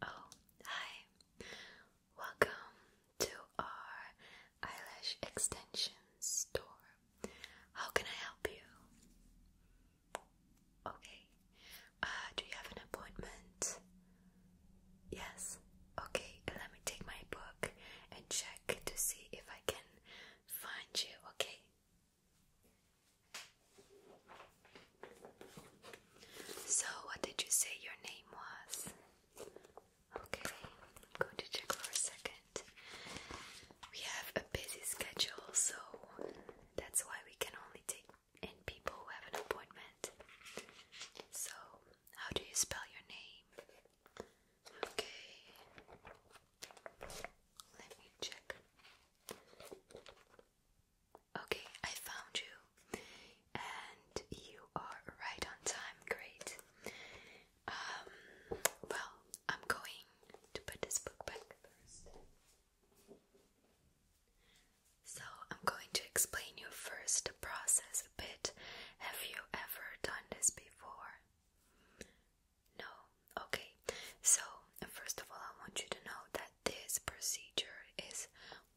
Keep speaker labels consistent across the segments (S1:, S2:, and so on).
S1: Oh, hi. Welcome to our eyelash extension store. How can I help you? Okay. Uh, do you have an appointment? Yes. Okay, let me take my book and check to see if I can find you, okay? So, what did you say your name was? Okay, I'm going to check for a second. We have a busy schedule, so that's why we can only take and people who have an appointment. So, how do you spell your name? Okay, let me check. Okay, I found you, and you are right on time. Great. Um, well, I'm going to put this book back first. So, I'm going to explain you first the process a bit. Have you ever done this before? No? Okay. So, first of all, I want you to know that this procedure is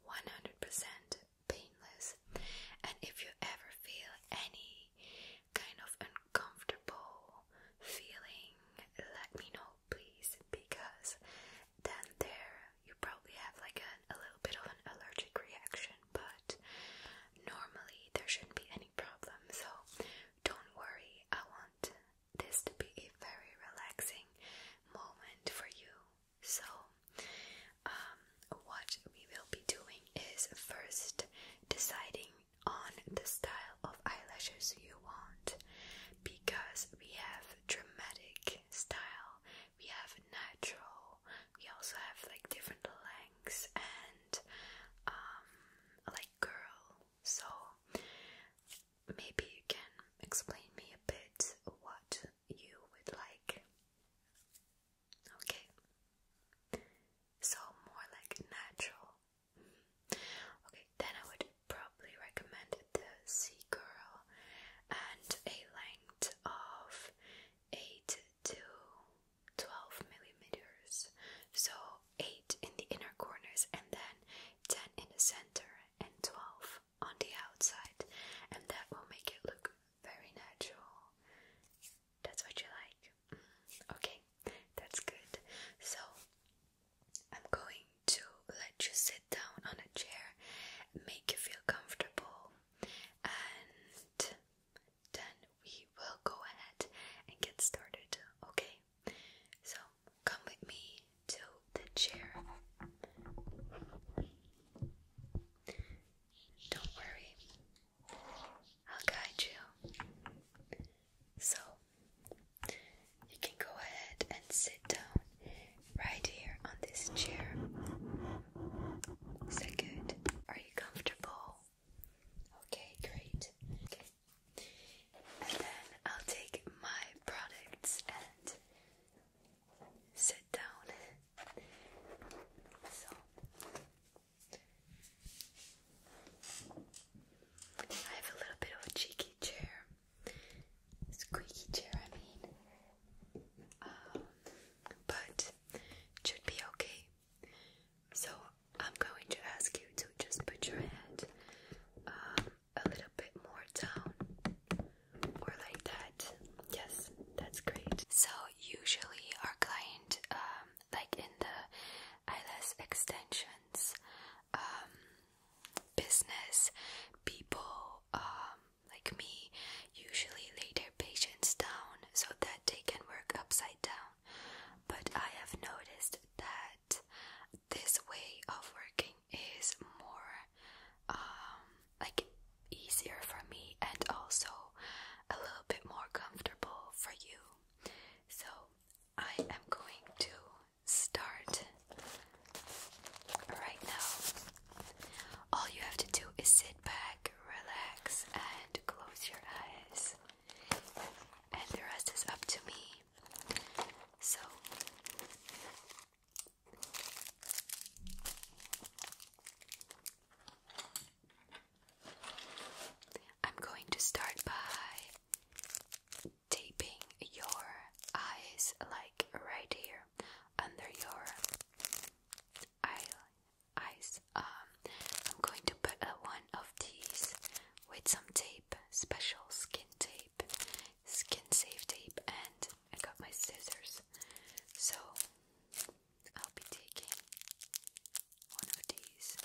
S1: 100% painless. And if you ever feel any kind of uncomfortable feeling, let me know, please because then there you probably have like a, a little bit of an allergic reaction, but normally there shouldn't be any problem. So don't worry, I want this to be a very relaxing moment for you. So, um, what we will be doing is first deciding on the style of eyelashes you want because we have dramatic style, we have natural, we also have like different lengths and um, like girl. So maybe you can explain me a bit what you would like. Okay, so more like natural. Okay, then I would probably recommend the Sea Girl and a length of 8 to 12 millimeters. So 8 in the inner corners and then 10 in the center and 12 on the outside, and that will make it look very natural. That's what you like. Mm, okay, that's good. So I'm going to let you sit down on a chair, make you feel comfortable, and then we will go ahead and get started, okay? So come with me to the chair. Don't worry, I'll guide you. So you can go ahead and sit down right here on this chair. Is that good? Are you comfortable? Okay, great. And then I'll take my products and sit down. So I have a little bit of a cheeky chair squeaky chair, I mean. Um, but it should be okay. So I'm going to ask you to just put your head um, a little bit more down or like that. Yes, that's great. So usually our client, um, like in the eyelash extensions, business people um, like me usually lay their patients down so that they can work upside down. But I have noticed that this way of working is more um, like easier for me and also a little bit more comfortable for you. So I am going to start right now. All you have to do is sit back, relax, and close your eyes. And the rest is up to me. So, I'm going to start by taping your eyes like right here under your eye eyes. Um, I'm going to put one of these with some tape, special skin tape, skin safe tape, and I got my scissors. So I'll be taking one of these.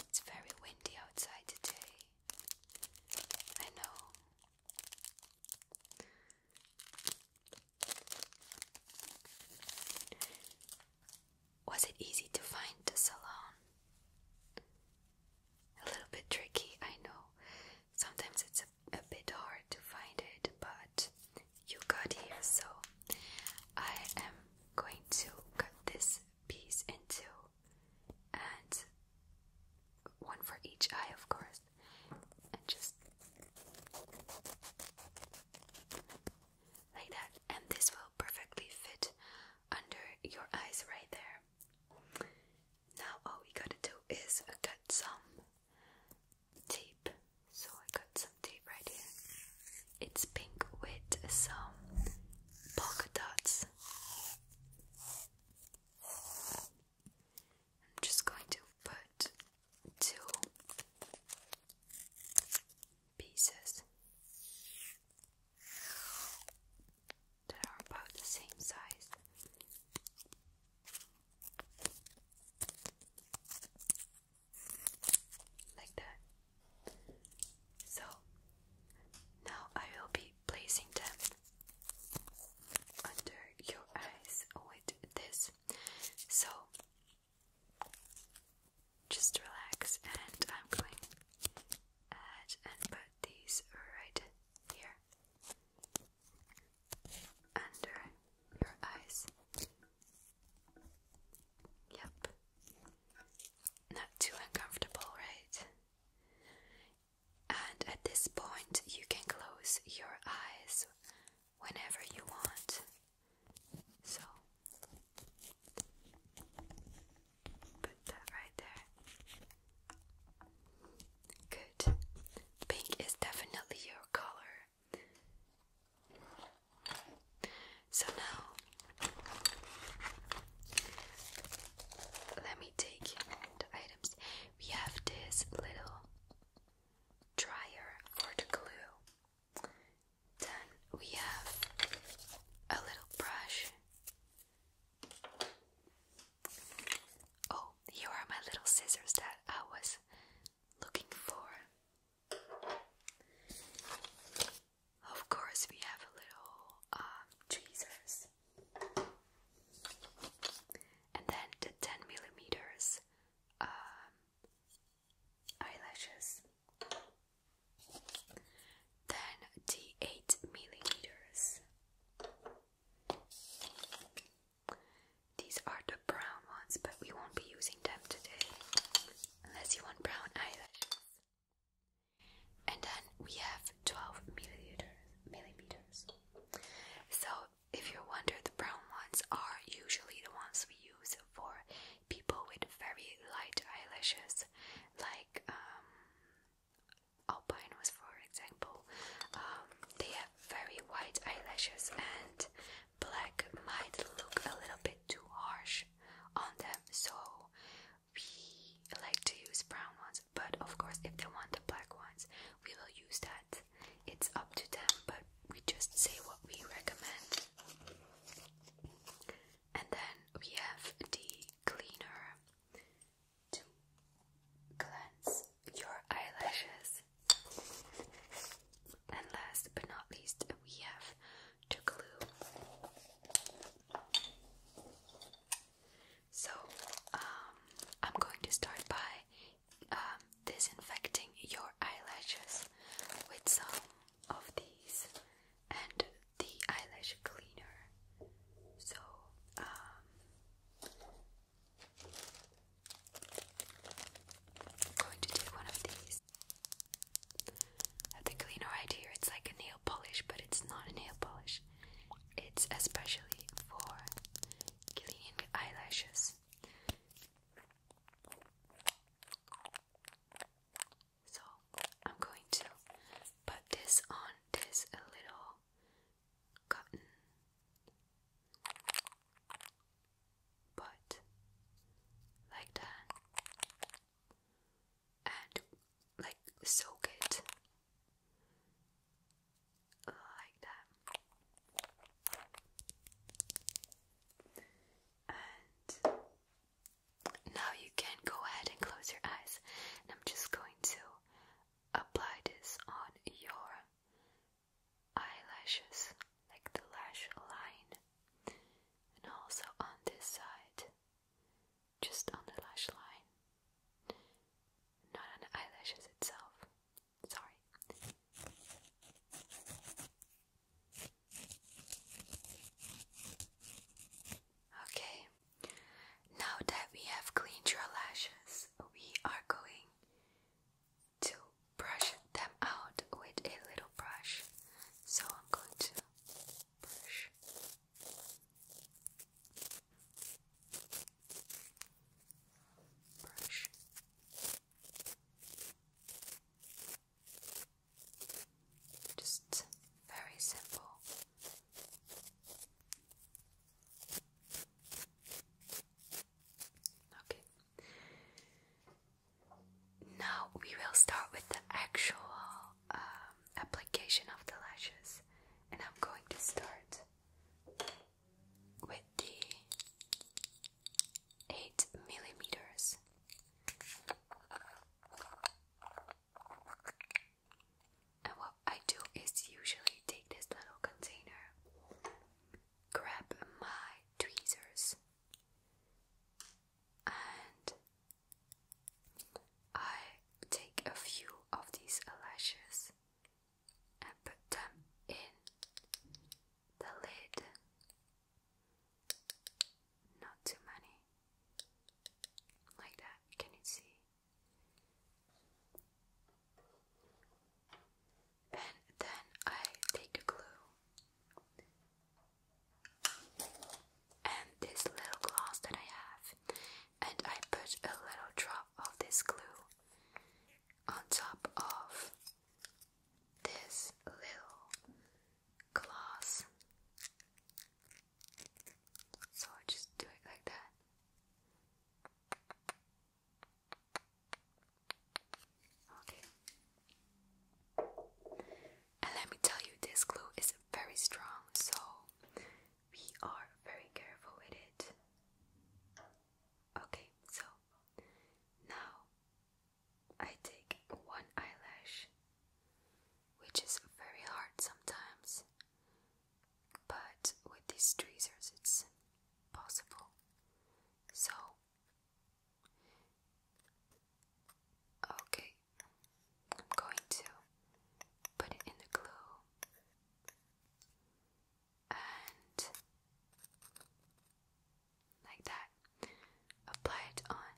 S1: It's very windy outside today. I know. Was it easy to find the salon? A little bit tricky, I know. Sometimes it's a a bit hard to find it, but you got here, so I am going to cut this piece into, and one for each eye, of course, and just like that. And this will perfectly fit under your eyes right there. Now, all we gotta do is cut some tape. So I got some tape right here. It's pink with some polka dots. I'm just going to put two pieces that are about the same size like that. So now I will be placing them under your eyes with this. So just relax, and I'm going to add and put these right here under your eyes. Yep. Not too uncomfortable, right? And at this point, you can close your eyes whenever you want. So, put that right there. Good. Pink is definitely your color. So now let me take the items. We have this little dryer for the glue. Then we have a little brush. Oh, here are my little scissors that I was looking for. Of course, we have a little uh, tweezers, and then the ten millimeters um, eyelashes, then the eight millimeters. These are the brown ones, but we won't be using them today unless you want brown eyelashes. And then we have 12 milliliters, millimeters. So, if you wonder, the brown ones are usually the ones we use for people with very light eyelashes, like um, albinos, for example. Um, they have very white eyelashes, and black might look a little bit too harsh on them, so we like to use brown ones. But of course, if they want the black ones, we will use that. It's up to them, but we just say what we recommend. And then we have the cleaner to cleanse your eyelashes. And last but not least, we have Tougaloo. So, um, I'm going to start by um, disinfecting your eyelashes with some of these and the eyelash cleaner. So, um, I'm going to take one of these. I have the cleaner right here. It's like a nail polish, but it's not a nail polish. It's especially for cleaning eyelashes. So I'm going to put this on this little cotton but like that, and like soak it like that. And now you can go ahead and close your eyes, and I'm just going to apply this on your eyelashes like the lash line and also on this side just on the lash line not on the eyelashes itself sorry okay now that we have cleaned your lashes we are going to brush them out with a little brush. So I'm going to brush. Brush. Just very simple. Okay. Now we will start with the actual um, application of the lashes, and I'm going to start with the 8 millimeters. And what I do is usually take this little container, grab my tweezers, and I take a few of these lashes and put them in the lid. Not too many. Like that, can you see? and then I take a glue and this little glass that I have, and I put a little drop of this glue on top of this little glass. So just do it like that. Okay. And let me tell you, this glue is very strong, so we are very careful with it. Okay, so now I take one eyelash, which is very hard sometimes, but with these tweezers it's possible. So Okay, I'm going to put it in the glue and like that, apply it on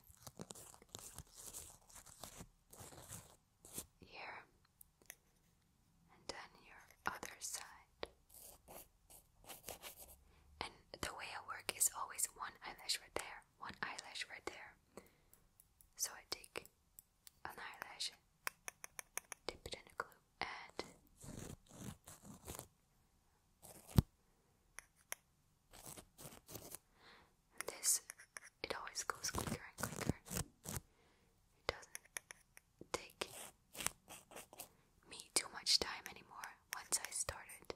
S1: here and then your other side. And the way I work is always one eyelash right there, one eyelash right there. So I take an eyelash, dip it in a glue, and this it always goes quicker and quicker. It doesn't take me too much time anymore once I started.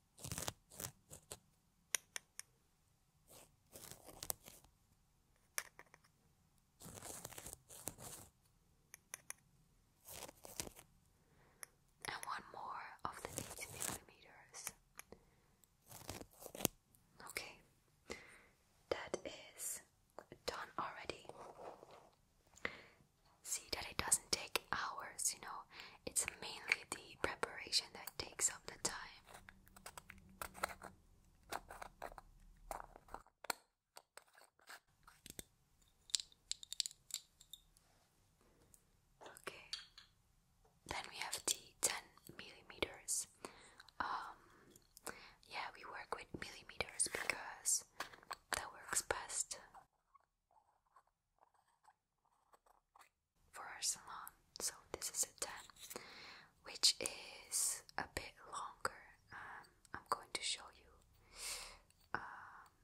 S1: And one more of the 18 millimeters. Okay, that is done already. See that it doesn't take hours, you know, it's mainly the preparation that takes up the time. Okay. Then we have the 10 millimeters. Um, yeah, we work with millimeters because that works best for our salon. So this is a 10, which is a bit longer. Um, I'm going to show you. Um,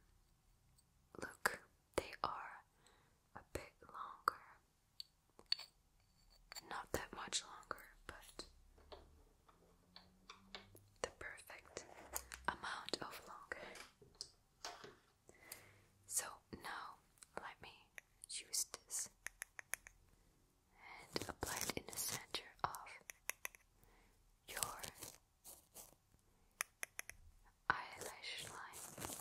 S1: look, they are a bit longer. Not that much longer, but the perfect amount of longer. So now let me use this and apply it in the center of your eyelash line.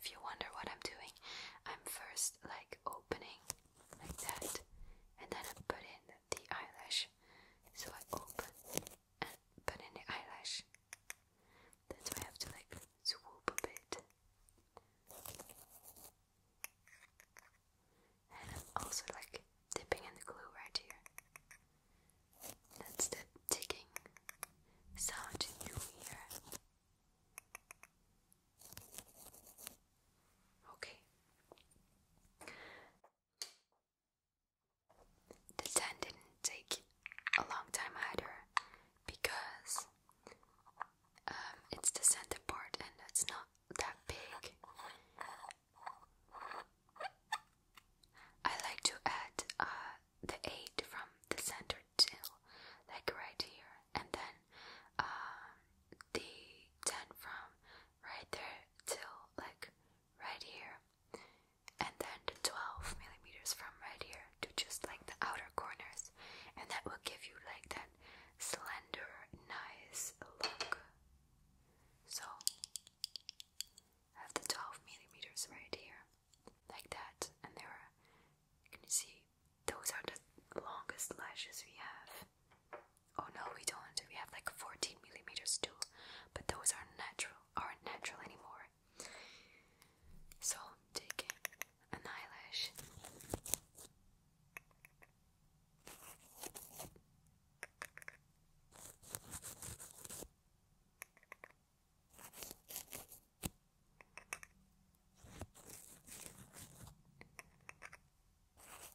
S1: If you wonder what I'm doing, I'm first like opening like that, and then I put in the eyelash. So I open and in the eyelash. That's why I have to like swoop a bit. And also like dipping in the glue right here. That's the ticking sound you hear. Okay. The 10 didn't take a long time either because um, it's the center part and it's not that big. I like to add uh, the 8 from the center till like right here and then um, the 10 from right there till like right here and then the 12 millimeters from right here to just like the outer corners, and that will give you like that slender, nice look. So have the 12 millimeters right here, like that, and there are, can you see, those are the longest lashes we have. Oh no, we don't. We have like 14 millimeters too, but those aren't natural, aren't natural anymore. So take an eyelash.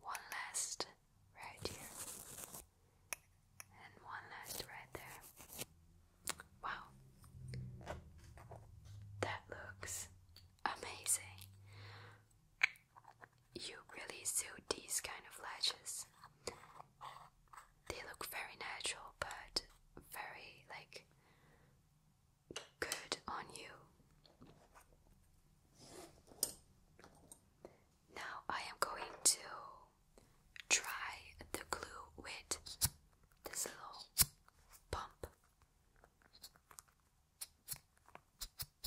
S1: One last right here, and one last right there. Wow, that looks amazing. You really suit these kind of lashes. They look very natural, but very like Good on you. Now I am going to try the glue with this little pump.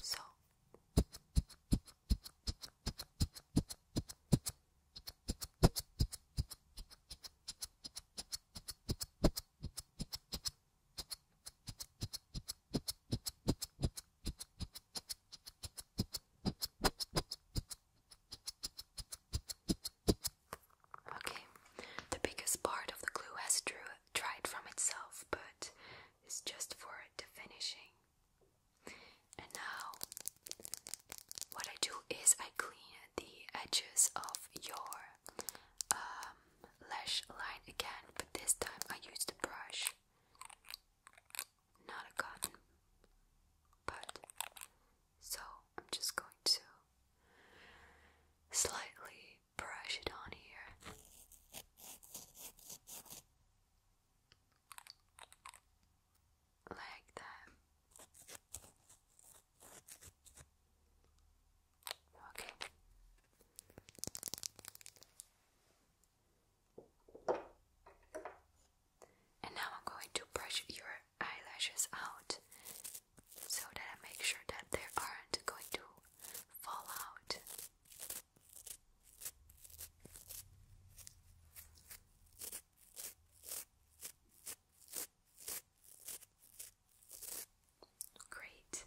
S1: So Okay, the biggest part of the glue has dried from itself, but it's just for the finishing. And now, what I do is I clean the edges of your um, lash line again, but this time I use the brush, not a cotton bud. So I'm just going to slightly brush it on here. Like that. Okay. And now I'm going to brush your eyelashes out so that I make sure that there aren't going to fall out. Great.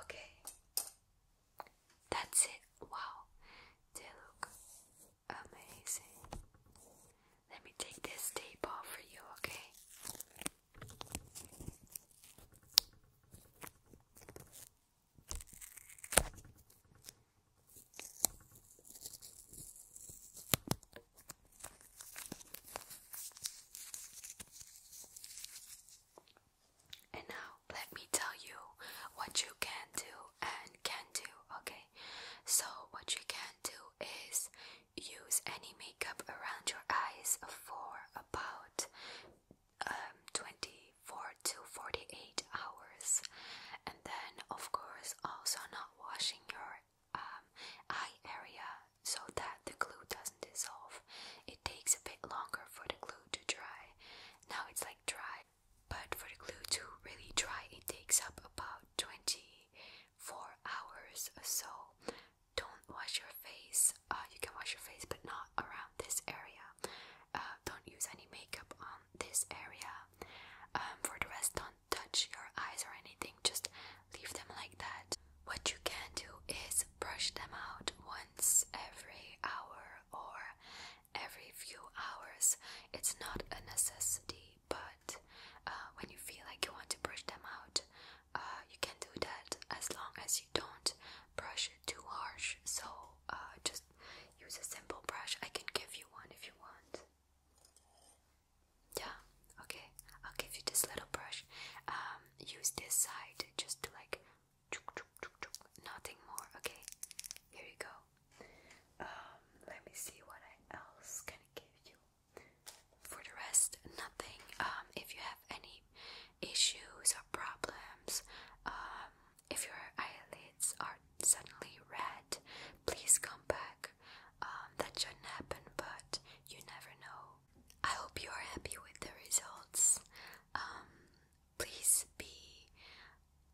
S1: Okay. That's it. Wow. They look amazing. Let me take this tape off for you, okay? And now let me tell you what you can do and can do, okay? So what you can do is use any makeup around your eyes for about um, 24 to 48 hours and then of course also not washing your um, eye area so that the glue doesn't dissolve. It takes a bit longer for the glue to dry. Now it's like dry, but for the glue to really dry, it takes up about 24 hours so. Don't wash your face. Uh, you can wash your face, but not around this area. Uh, don't use any makeup on this area. Um, for the rest, don't touch your eyes or anything. Just leave them like that. What you can do is brush them out once every hour or every few hours. It's not a necessity, but uh, when you feel like you want to brush them out, uh, you can do that as long as you don't brush it too harsh. So uh, just use a simple brush. I can give you one if you want. Yeah, okay. I'll give you this little brush. Um, use this side just to like nothing more. Okay, here you go. Um, let me see what I else can give you. For the rest, nothing. Um, if you have any issues or problems, if your eyelids are suddenly red, please come back. that shouldn't happen, but you never know. I hope you are happy with the results. Um, please be,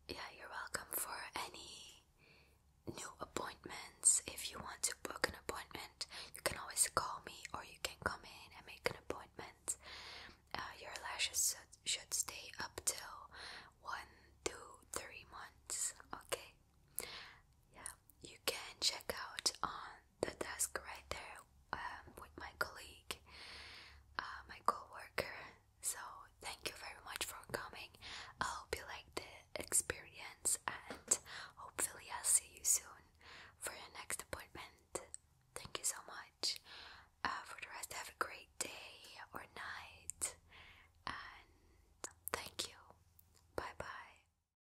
S1: yeah, you're welcome for any new appointments. If you want to book an appointment, you can always call me or you can come in and make an appointment. Uh, your lashes should stay up till one months, okay? Yeah, you can check out on the desk right there um, with my colleague, uh, my coworker. So thank you very much for coming. I hope you liked the experience and hopefully I'll see you soon for your next appointment. Thank you so much. Uh, for the rest, have a great day or night and thank you. Bye bye.